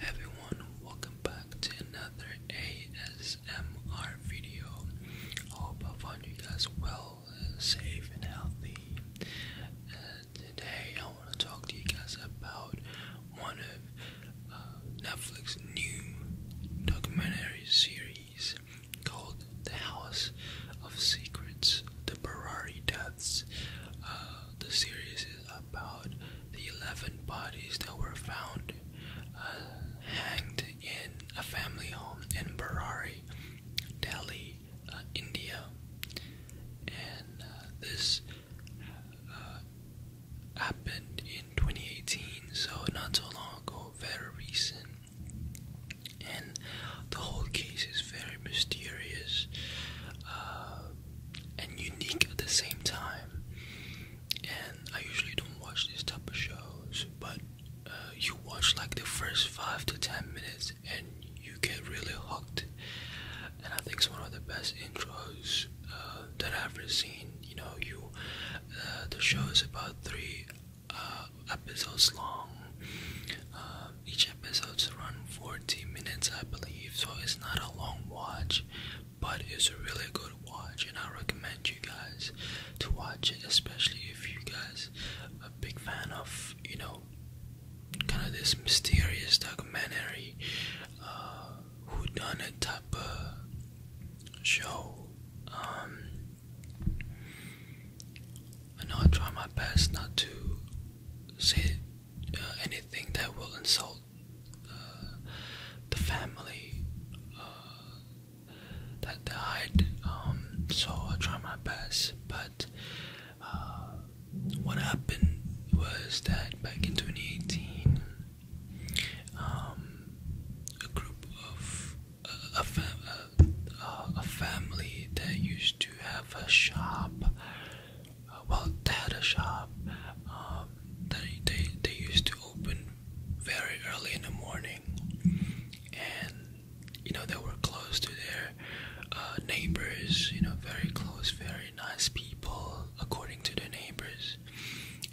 everyone, welcome back to another ASMR video. I hope I found you guys well, safe, and healthy. Uh, today, I want to talk to you guys about one of uh, Netflix's new documentary series called The House of Secrets The Barari Deaths. Uh, the series about the 11 bodies that were found uh, hanged in a family home in Berari, Delhi, uh, India. And uh, this happened in 2018, so not so long ago, very recent. And the whole case is very mysterious and unique at the same time. And I usually don't watch these type of shows, but uh, you watch like the first five to ten minutes and you get really hooked. And I think it's one of the best intros uh, that I've ever seen. You know, you uh, the show is about three episodes long. Uh, each each episode's run 40 minutes, I believe, so it's not a long watch, but it's a really good watch, and I recommend you guys to watch it, especially if you guys are a big fan of, you know, kind of this mysterious documentary, uh, type of show. Um, I know I try my best not to say uh, anything that will insult uh, the family uh, that died. Um, so I try my best, but what happened was that back in 2018, um, a group of a family that used to have a shop well they had a shop um, they, they used to open very early in the morning and you know they were close to their uh, neighbors you know very close very nice people according to their neighbors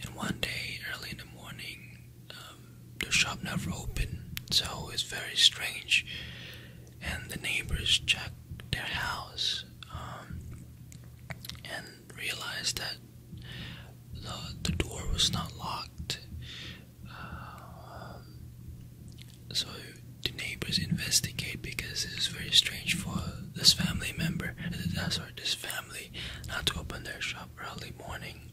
and one day early in the morning um, the shop never opened so it was very strange and the neighbors checked their house um, and realized that the, the door was not locked. Um, so the neighbors investigate because this is very strange for this family member, that's uh, or this family, not to open their shop early morning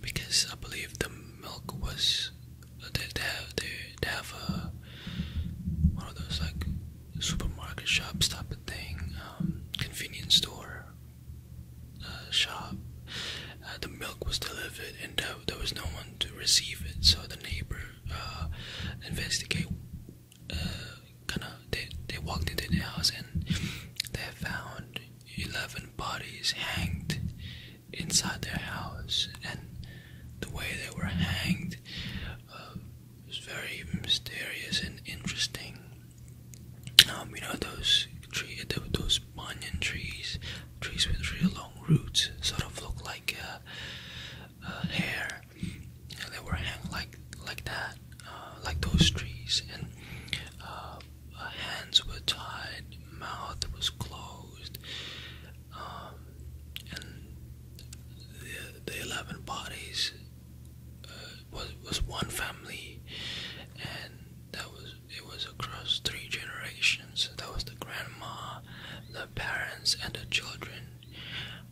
because I believe the milk was they, they have they, they have a uh, one of those like supermarket shops type of thing, um, convenience store uh, shop. Uh, the milk was delivered, and there, there was no one to receive it. So the neighbor uh, investigate. Uh, kind of they they walked into the house and they found eleven bodies hanged inside their house, and the way they were hanged uh, was very mysterious and interesting. Um, you know those tree, those banyan trees, trees with really long roots, sort of look like uh, uh, hair. You they were hanged like like that, like those trees, and hands were tied, mouth was closed. Um, and the, the 11 bodies uh, was, was one family, and that was it was across three generations. That was the grandma, the parents, and the children.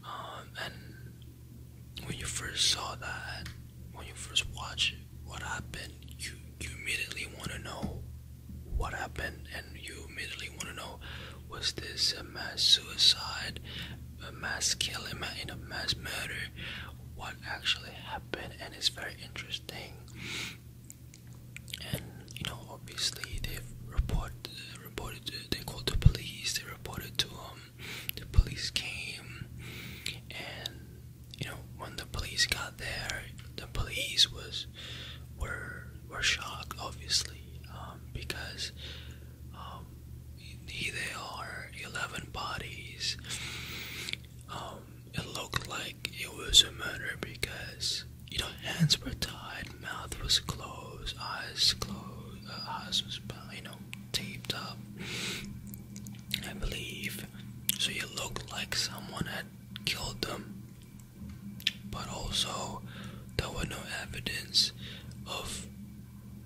Um, and when you first saw that, when you first watched what happened, you immediately want to know what happened, and you immediately want to know was this a mass suicide, a mass killing, in a mass murder? What actually happened? And it's very interesting. And you know, obviously they've reported, they called the police. They reported to um. The police came, and you know, when the police got there, the police was were were shocked, obviously, um, because um, they are, eleven bodies. Um, it looked like it was a murder because you know hands were tied, mouth was closed, eyes closed, uh, eyes was you know taped up. I believe so. It looked like someone had killed them, but also there was no evidence of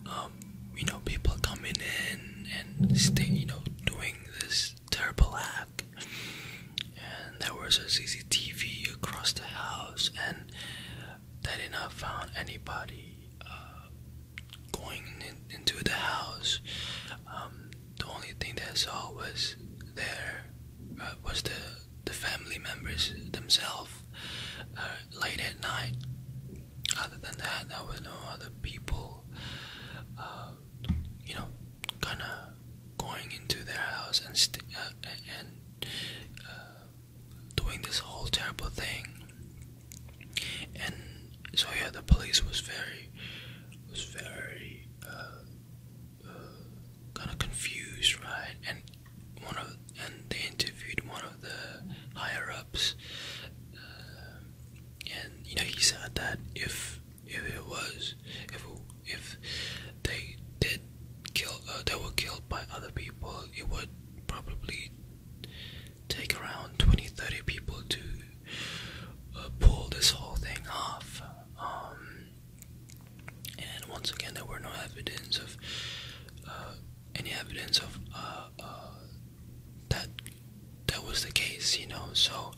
um, you know people coming in and you know doing this terrible act. And there was a CCTV across the house, and they did not find anybody uh, going into the house. Um, the only thing that I saw was there uh, was the the family members themselves uh, late at night. Other than that, there was no other people, uh, you know, kind of going into their house and and doing this whole terrible thing. And so yeah, the police was very, was very uh, uh kind of confused, right? And one of and they interviewed one of the higher ups, uh, and you know he said that if if it was if it, if they did kill uh, they were killed by other people, it would probably take around 20 30 people to uh, pull this whole thing off. Um, and once again, there were no evidence of uh, any evidence of uh, that that was the case, you know. So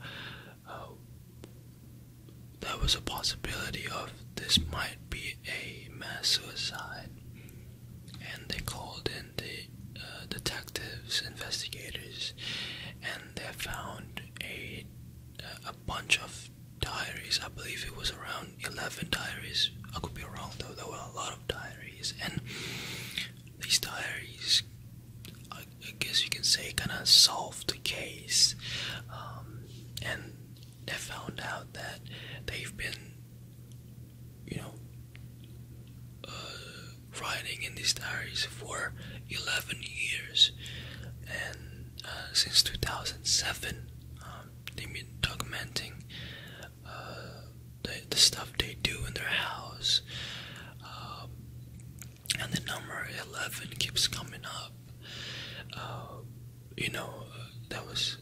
there was a possibility of this might be a mass suicide, and they called in the detectives, investigators, and they found a a bunch of diaries. I believe it was around eleven diaries. I could be wrong though. There were a lot of diaries, and these diaries, I, guess you can say, kind of solved the case. Um, and they found out that they've been, you know, uh, writing in these diaries for 11 years, and uh, since 2007, um, they've been documenting uh, the, stuff they do in their house, um, and the number 11 keeps coming up. you know, uh, that was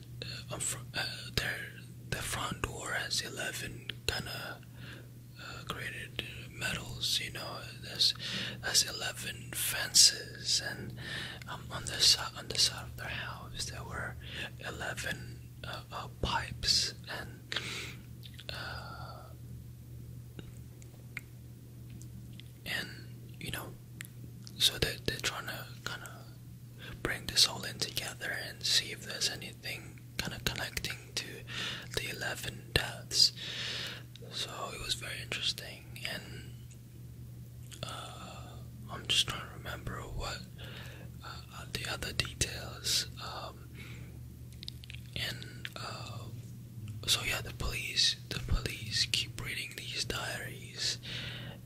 uh, their the front door has 11 kind of created uh, medals. You know, there's there's eleven fences, and um, on the side on the side of their house there were eleven uh, uh, pipes and. Uh, and you know, so they're, they're trying to kind of bring this all in together and see if there's any anything kind of connecting to the 11 deaths. So it was very interesting, and uh, I'm just trying to remember what uh, the other details. Um, and uh, so yeah, the police, the police keep reading these diaries,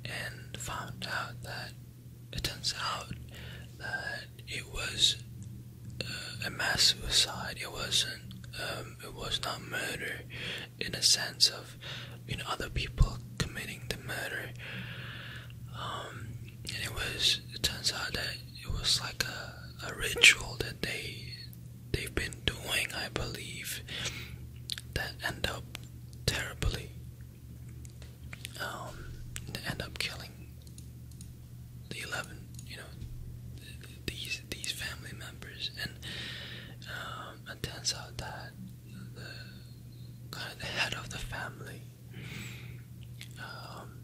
and found out that it turns out that it was uh, a mass suicide. It wasn't. Um, it was not murder, in a sense of, you know, other people committing the murder. Um, and it was. It turns out that it was like a, a ritual that they they've been doing, I believe, that end up terribly um, to end up killing the eleven, you know, these these family members, and it turns out that the kind of the head of the family um,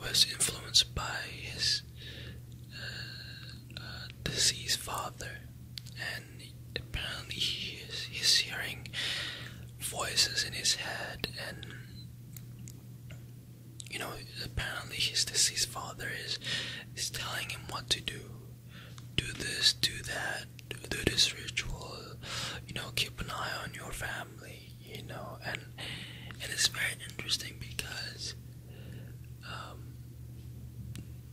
was influenced by his uh, uh, deceased father, and apparently he is hearing voices in his head and you know apparently his deceased father is is telling him what to do do this do that do, this ritual you know keep an eye on your family you know and and it's very interesting because um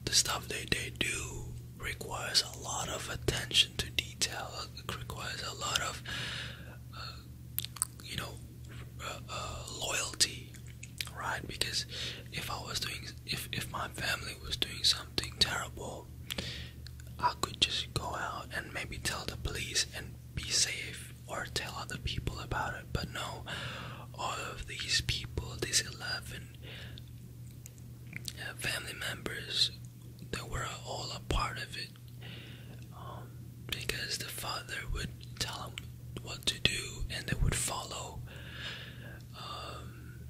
the stuff they they do requires a lot of attention to detail. It uh, requires a lot of, uh, you know, uh, loyalty, right? Because if I was doing, if if my family was doing something terrible, I could just go out and maybe tell the police and be safe, or tell other people about it. But no, all of these people, these eleven family members that were all a part of it um, because the father would tell them what to do and they would follow um,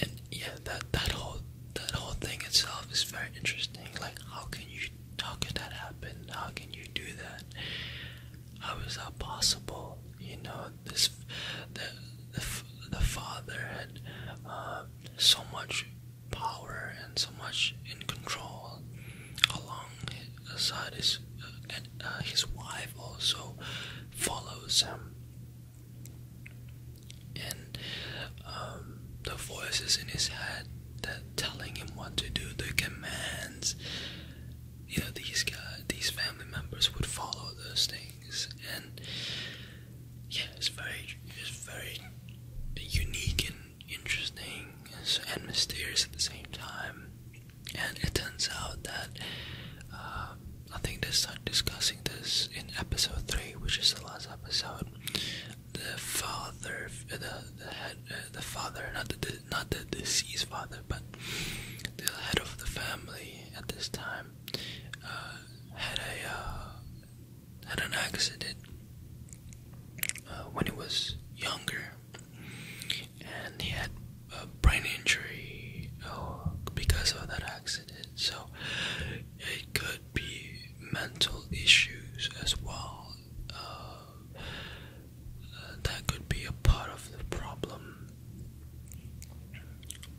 and yeah that that whole that whole thing itself is very interesting like how can you how could that happen how can you do that how is that possible you know this the, the, father had uh, so much power and so much in control alongside his uh, uh, his wife also follows him and um, the voices in his head that telling him what to do the commands you know these guys these family members would follow those things and yeah, it's very it's very unique and interesting and mysterious at the same time. And it turns out that uh, I think they start discussing this in episode three, which is the last episode. The father, the head, uh, the father, not the not the deceased father, but the head of the family at this time uh, had a uh, had an accident uh, when he was younger, and he had a brain injury uh, because of that accident. So it could be mental issues as well. that could be a part of the problem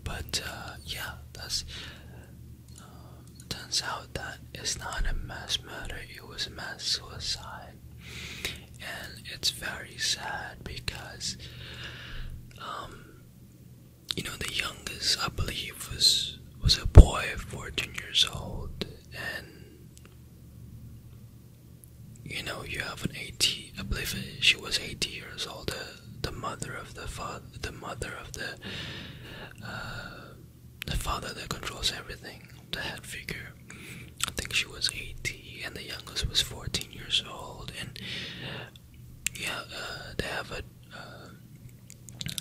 but uh, yeah, that's. Um, turns out that it's not a mass murder; it was a mass suicide, and it's very sad because, um, you know, the youngest I believe was was a boy, fourteen years old, and you know, you have an eighty. I believe she was eighty years old the mother of the father, the mother of uh, the father that controls everything, the head figure. I think she was 80, and the youngest was 14 years old. And yeah, uh, they have a uh,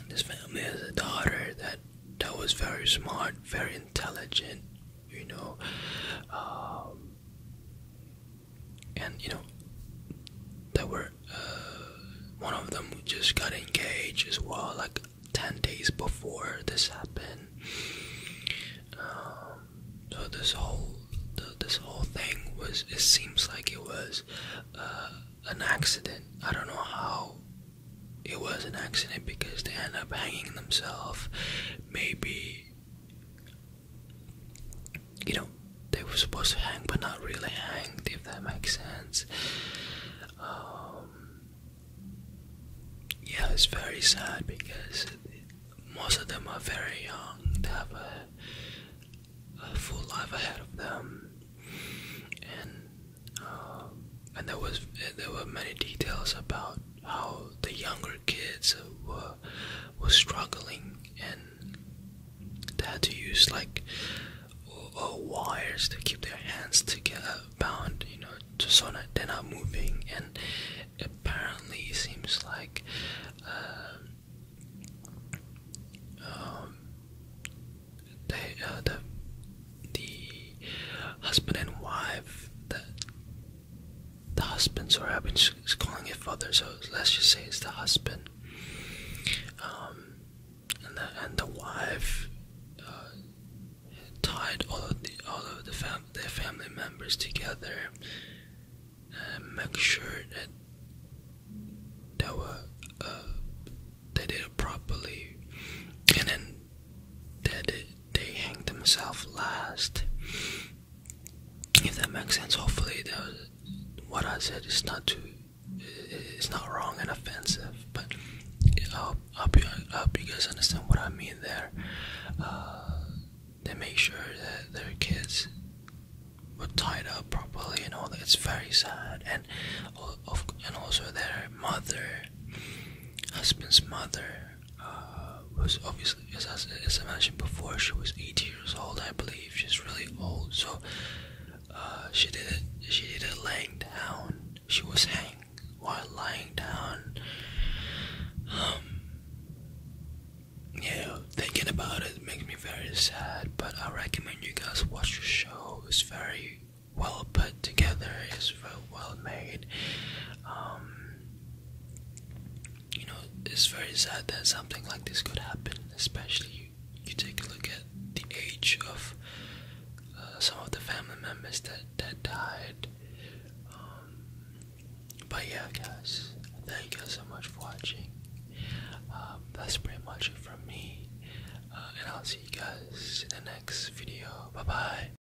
this family has a daughter that that was very smart, very intelligent. You know, um, and you know there were uh, one of them just got engaged as well like 10 days before this happened um, so this whole this whole thing was it seems like it was uh, an accident i don't know how it was an accident because they end up hanging themselves maybe you know, they were supposed to hang but not really hanged, if that makes sense. Um, yeah, it's very sad because most of them are very young, they have a, full life ahead of them, and um, and there was there were many details about how the younger kids were was struggling and they had to use like wires to keep their hands together bound you know just so that they're not moving and apparently it seems like uh, um, uh, the the husband and wife that the husbands, or I've been calling it fathers, so let's just say it's the husband. Um, and the and the wife uh, tied all of the all of the their family members together and make sure that they were uh, they did it properly, and then they they hanged themselves last if that makes sense hopefully what i said is not too it's not wrong and offensive but i hope, I hope, you, I hope you guys understand what i mean there uh, they make sure that their kids were tied up properly and all that it's very sad and, and also their mother husband's mother uh, was obviously, as I, mentioned before, she was 80 years old, I believe. She's really old, so uh, she did it. She did it laying down. She was hanged while lying down. Um, yeah, thinking about it makes me very sad. But I recommend you guys watch the show. It's very well put together. It's very well made. Um, you know, it's very sad that something like this could happen, especially you, take a look at the age of uh, some of the family members that, that died. Um, but yeah, guys, thank you so much for watching. Um, that's pretty much it from me. Uh, and I'll see you guys in the next video. Bye bye.